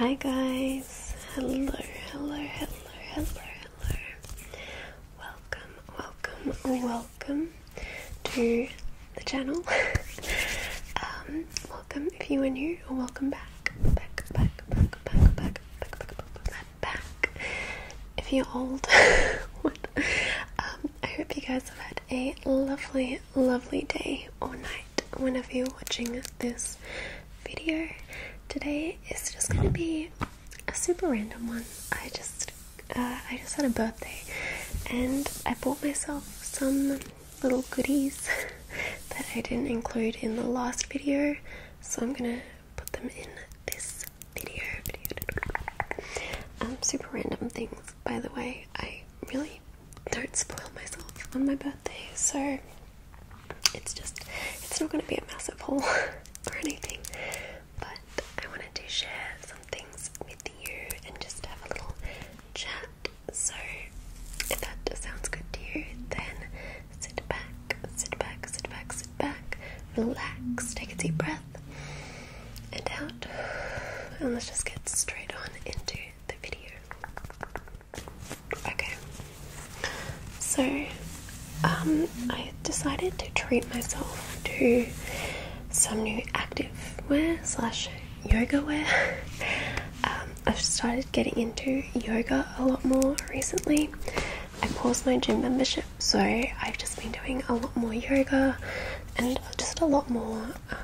Hi guys, hello, hello, hello, hello, hello. Welcome, welcome, welcome to the channel. Um, welcome if you are new Welcome back. Back, back, back, back, back, back, back, back, If you are old, um, I hope you guys have had a lovely, lovely day or night whenever you're watching this video. Today is just gonna be a super random one. I just, uh, I just had a birthday, and I bought myself some little goodies that I didn't include in the last video, so I'm gonna put them in this video. Um, super random things, by the way. I really don't spoil myself on my birthday, so it's just it's not gonna be a massive haul or anything, but I wanted to share some things with you and just have a little chat. So if that sounds good to you, then sit back, sit back, sit back, sit back, relax, take a deep breath and out. And let's just get straight on into the video. Okay. So, um, I decided to treat myself to some new active wear slash yoga wear. Um, I've started getting into yoga a lot more recently. I paused my gym membership, so I've just been doing a lot more yoga and just a lot more um,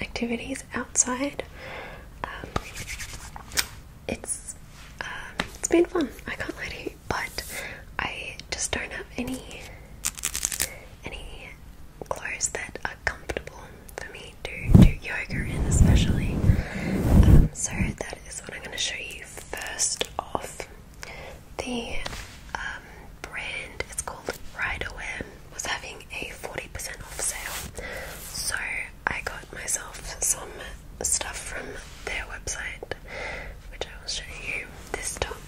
activities outside. Um, it's um, it's been fun. I can't lie to you, but I just don't have any any clothes that are comfortable for me do do yoga in, especially. Um, so that is what I'm going to show you first off. The um, brand it's called Ride Riderwear was having a 40% off sale, so I got myself some stuff from their website, which I will show you. This top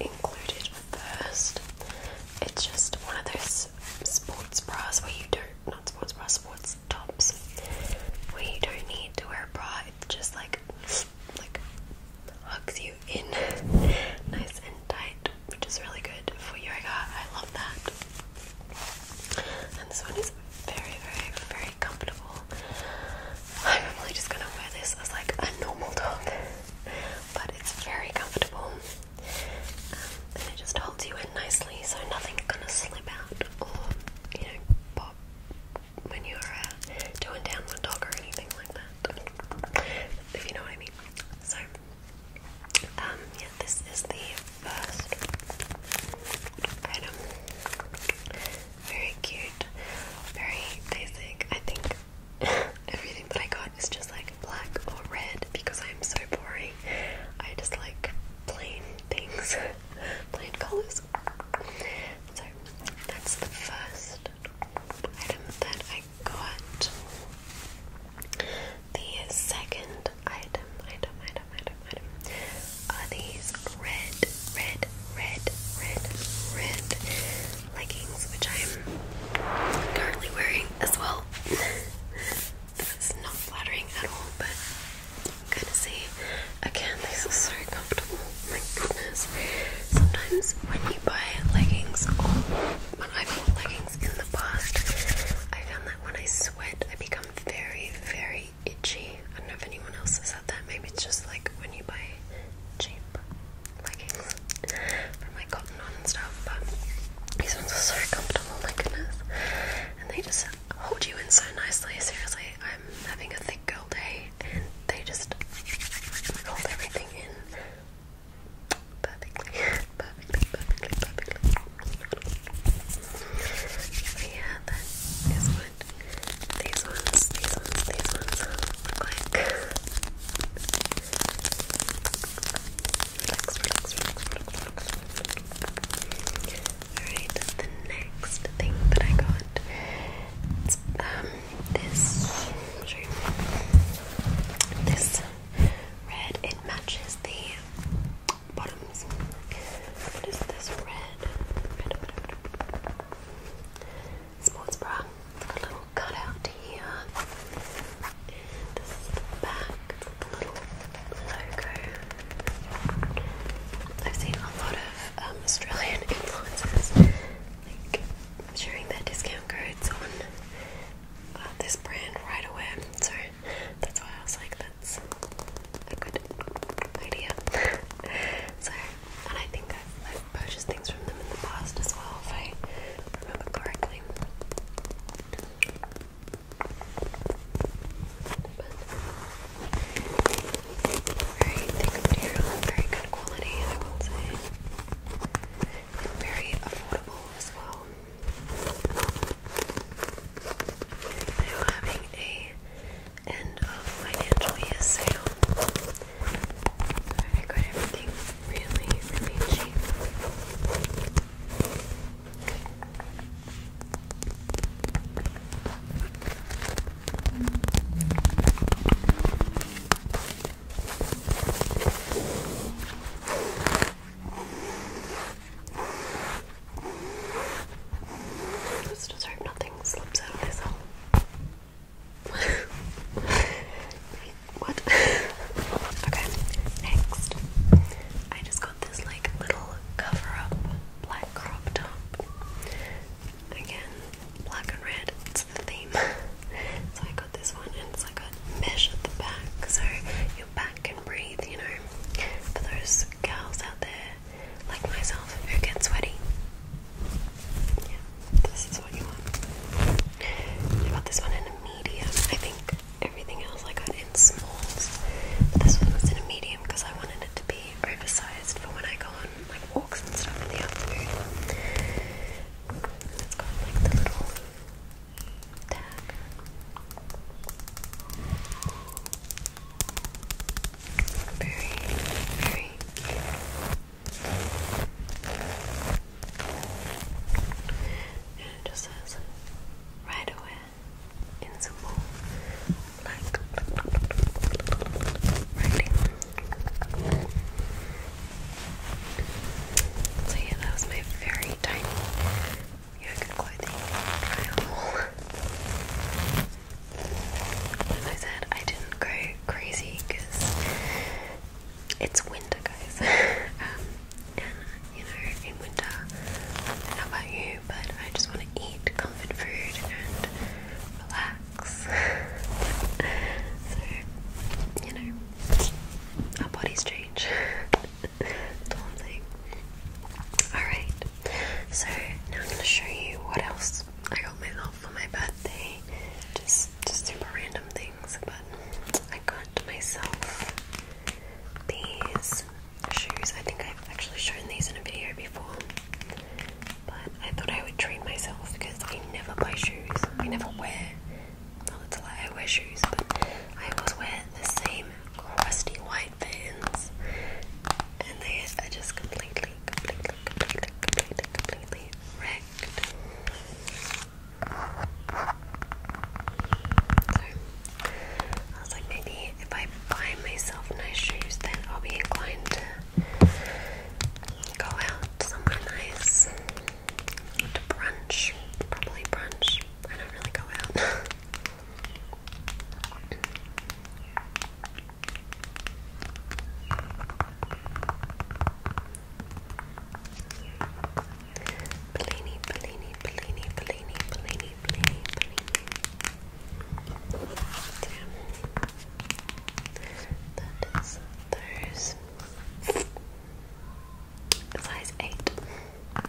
included first. It's just one of those sports bras where you don't, not sports bras, sports it's tops. We don't need to wear a bra, It just like like hugs you in nice and tight, which is really good for yoga. I love that. And this one is very, very, very comfortable. I'm really just gonna wear this as like a normal top, but it's very comfortable and it just holds you in nicely so nothing's gonna slip out or, you know, pop when you're uh, doing downward dog or anything like that. If you know what I mean. So, um, yeah, this is the first item. Very cute, very basic. I think everything that I got is just like black or red because I'm so boring. I just like plain things. plant colors. So that's the first item that I got. The second item, item, item, item, item are these red, red, red, red, red leggings, which I'm currently wearing as well. This is not flattering at all, but I'm gonna see. Again, these are so comfortable. My goodness. Sometimes when you buy leggings, or when I bought leggings in the past, I found that when I sweat, I become very, very itchy. I don't know if anyone else has had that. Maybe it's just like when you buy cheap leggings from like cotton on and stuff, but these ones are so comfortable, my goodness. And they just hold you in so nicely. Seriously, I'm having a thick girl day and they just hold everything in perfectly. Perfectly, perfectly, perfectly. Yeah, that is what these ones, these ones, these ones look like. Alright, the next thing that I got is um, this, this red, it matches the bottoms. What is this red? Sports bra. It's got a little cutout here. this back. I've seen a lot of um, Australian influencers like sharing their discount codes on uh, this brand right away, so that's why I was like, that's a good idea. so, and I think I've purchased things from them in the past as well, if I remember correctly very thick very good quality, I would say. And very affordable as well. Now having a end of financial year sale. I got everything really, really Let's just hope nothing slips out of this what? okay, next. I just got got this like little cover up black crop top. Again, black and red, it's the theme. so I got this one and so I got mesh at the back so your back can breathe, you know. For those girls out there like myself who get sweaty. Yeah, this is what you want. I got this one in a medium. I think everything else I got in smalls. But this one was in a medium because I wanted it to be oversized for when I go on like walks and stuff in the afternoon. It's got like the little tag. And it just says right away invisible like writing. So yeah, that was my very tiny yoga clothing trial. As I said, I didn't go crazy because it's winter, guys. Um, you know, in winter, how about you? But I just want to eat comfort food and relax. so, you know, our bodies change. That's all I'm Alright, so now I'm gonna show you what else I got myself for my birthday. Just just super random things, but I got myself these shoes. I think I've actually shown these in a video before, but I thought I would treat myself because I never buy shoes. I never wear, well, it's a lie, I wear shoes, but I always wear the same crusty white vans, and they are just completely, completely, completely, completely, completely wrecked. So I was like, maybe if I buy myself nice shoes, then I'll be inclined to go out somewhere nice to brunch, probably brunch. I don't really go out. Bellini, Bellini, Bellini, Bellini, Bellini, Bellini, Bellini. That is those. Size 8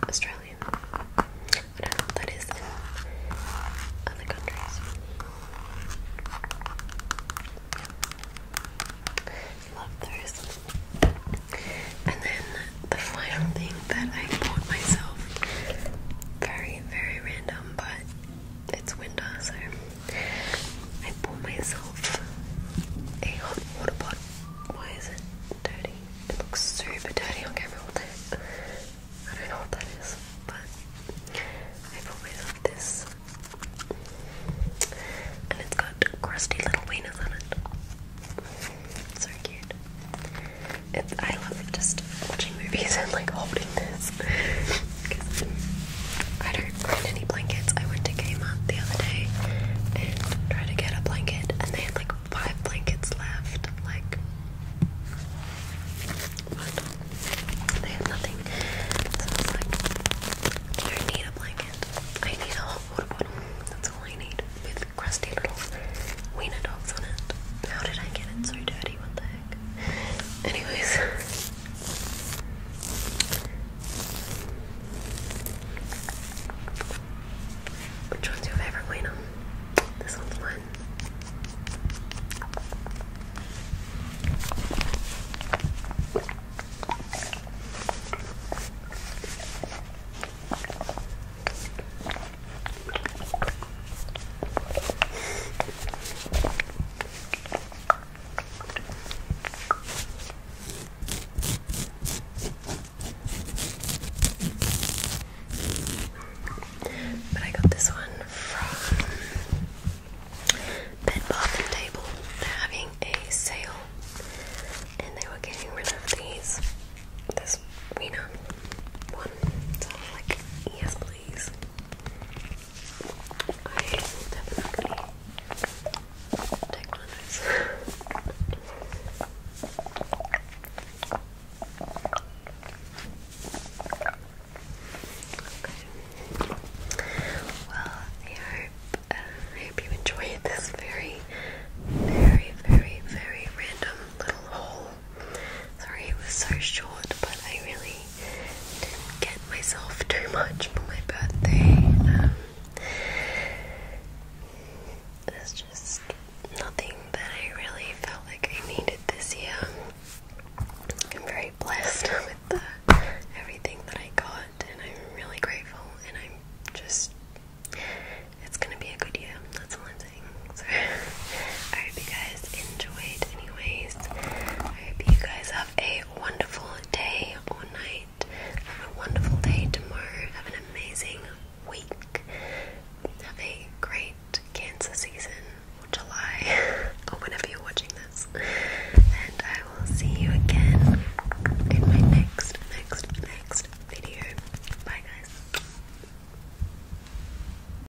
Australian. that is other countries. Love those. And then the final thing that I bought myself very, very random them, but it's winter, so I bought myself a hot water pot. Why is it dirty? It looks super dirty on camera I don't know what that is, but I bought myself this. And it's got crusty little wieners on it. So cute. It's, I love just watching movies and like holding this because I don't find any blankets. I went to Kmart the other day and tried to get a blanket, and they had like five blankets left. Like, what? They had nothing. So I was like, I don't need a blanket. I need a hot water bottle. That's all I need with crusty little wiener dogs on it. How did I get it so dirty? What the heck? Anyways. Which one's your favorite, Wayno? This one's mine. But I got this one from Bed Bath and Table. They're having a sale and they were getting rid of these this Wiener one. So i like, yes please. I Well, uh, I hope, you enjoyed this very, very, very, very random little hole. Sorry it was so short, but I really didn't get myself too much for my birthday. Um, just nothing that I really felt like I needed this year. I'm very blessed with everything that I got, and I'm really grateful, and I'm just. It's gonna be a good year, that's all things. I hope you guys enjoyed, anyways. I hope you guys have a wonderful day or night. Have a wonderful day tomorrow. Have an amazing week. Have a great Cancer season or July or whenever you're watching this. And I will see you again in my next, next, next video. Bye, guys.